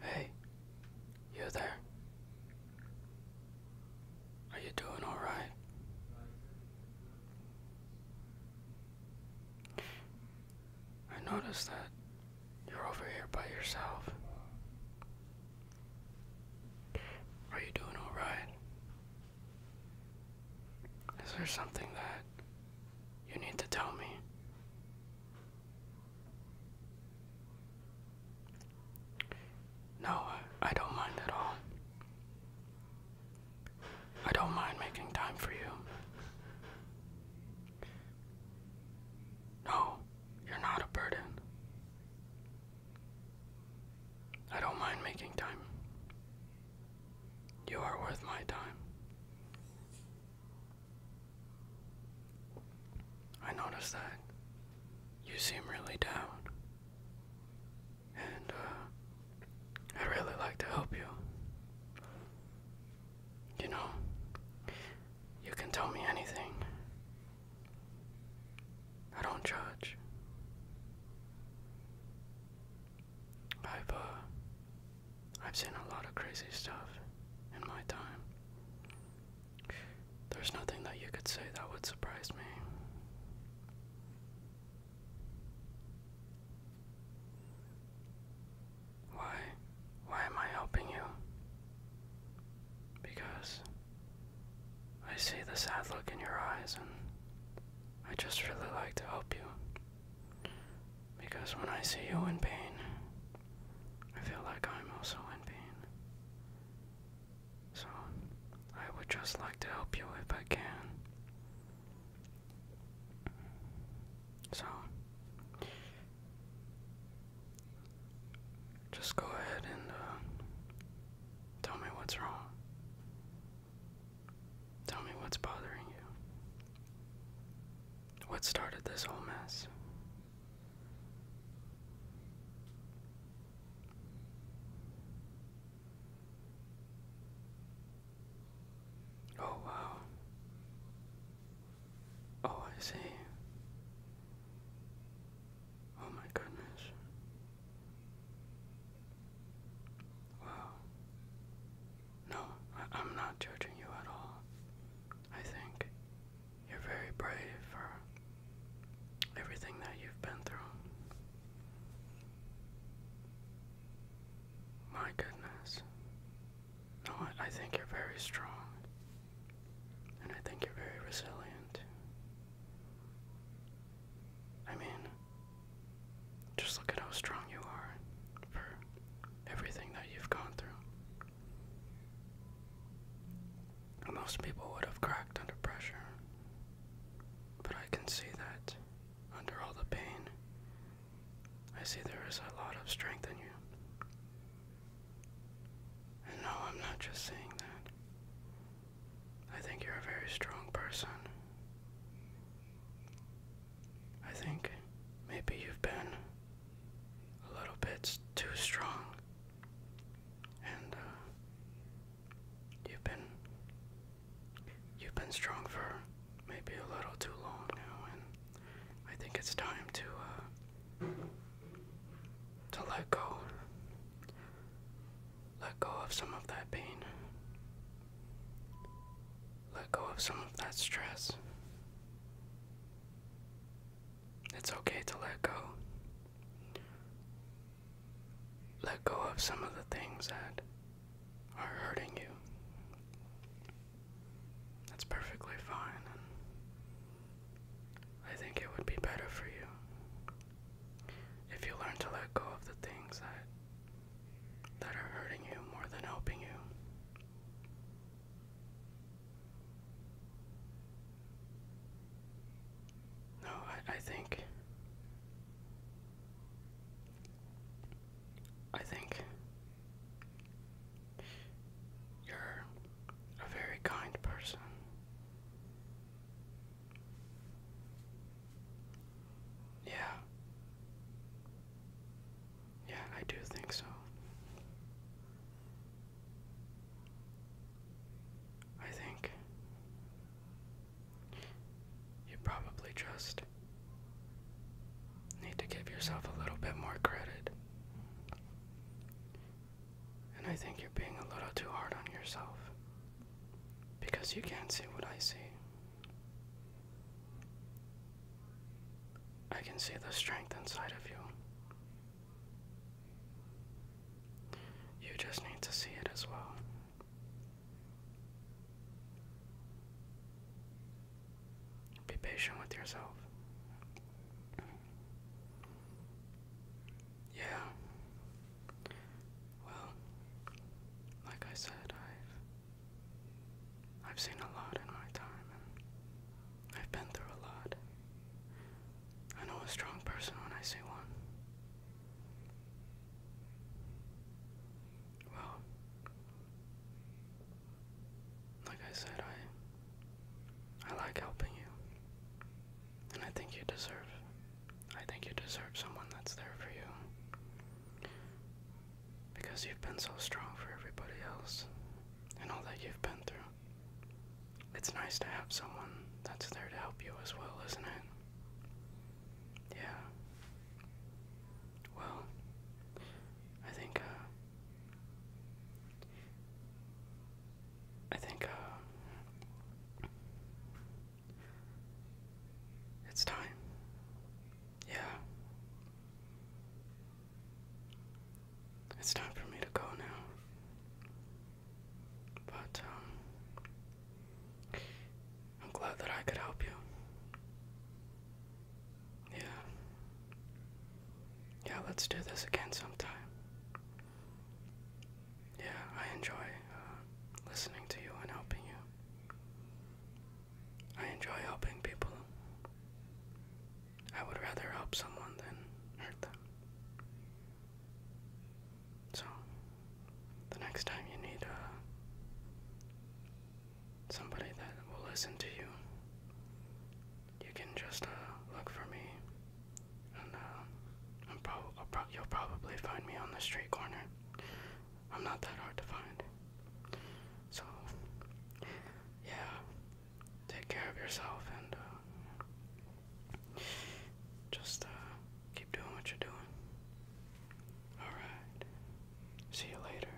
Hey, you there? Are you doing alright? I noticed that you're over here by yourself. Are you doing alright? Is there something that you need to tell me. No, I don't mind at all. I don't mind making time for you. No, you're not a burden. I don't mind making time. You are worth my time. I noticed that you seem really down, and uh, I'd really like to help you. You know, you can tell me anything. I don't judge. I've uh, I've seen a lot of crazy stuff in my time. There's nothing that you could say that would surprise me. Why? Why am I helping you? Because I see the sad look in your eyes and I just really like to help you. Because when I see you in pain, I feel like I'm also in pain. So, I would just like to help you if I can. So, just go ahead and uh, tell me what's wrong. Tell me what's bothering you. What started this whole mess? Oh, wow. Oh, I see. Oh, my goodness. Wow. No, I am not judging you at all. I think you're very brave for everything that you've been through. My goodness. No, I, I think you're very strong. And I think you're very resilient. I mean, just look at how strong you are for everything that you've gone through. Most people would have cracked under pressure, but I can see that under all the pain, I see there is a lot of strength in you. And no, I'm not just saying that. I think you're a very strong person. I think maybe you've been a little bit too strong, and uh, you've been you've been strong for maybe a little too long now, and I think it's time to uh, to let go. Let go of some of that pain. Let go of some of that stress. It's okay to let go. Let go of some of the things that are hurting you. That's perfectly fine. I think it would be better for you if you learn to let go of the things that that are hurting you more than helping you. No, I, think I think you're a very kind person. Yeah. Yeah, I do think so. I think you probably just need to give yourself a little bit more credit. And I think you're being a little too hard on yourself. Because you can't see what I see. I can see the strength inside of you. You just need to see it as well. Be patient with yourself. Yeah. Well, like I said, I've I've seen a lot in my time I've been through a lot. I know a strong person when I see one. Well, like I said, I I like helping you. And I think you deserve I think you deserve someone that's there for you. Because you've been so strong for everybody else and all that you've been through. It's nice to have someone that's there to help you as well, isn't it? Yeah. Well, I think uh, I think uh, it's time. Yeah. It's time for me to go now. But, um, I'm glad that I could help you. Yeah. Yeah, let's do this again sometime. Yeah, I enjoy uh, listening to you and helping you. I enjoy helping people. I would rather help someone than hurt them. So, the next time you need uh, somebody that will listen to you, you can just uh, look for me, and uh, you'll probably find me on the street corner. I'm not that hard to find. So, yeah, take care of yourself and uh, just keep doing what you're doing. Alright, see you later.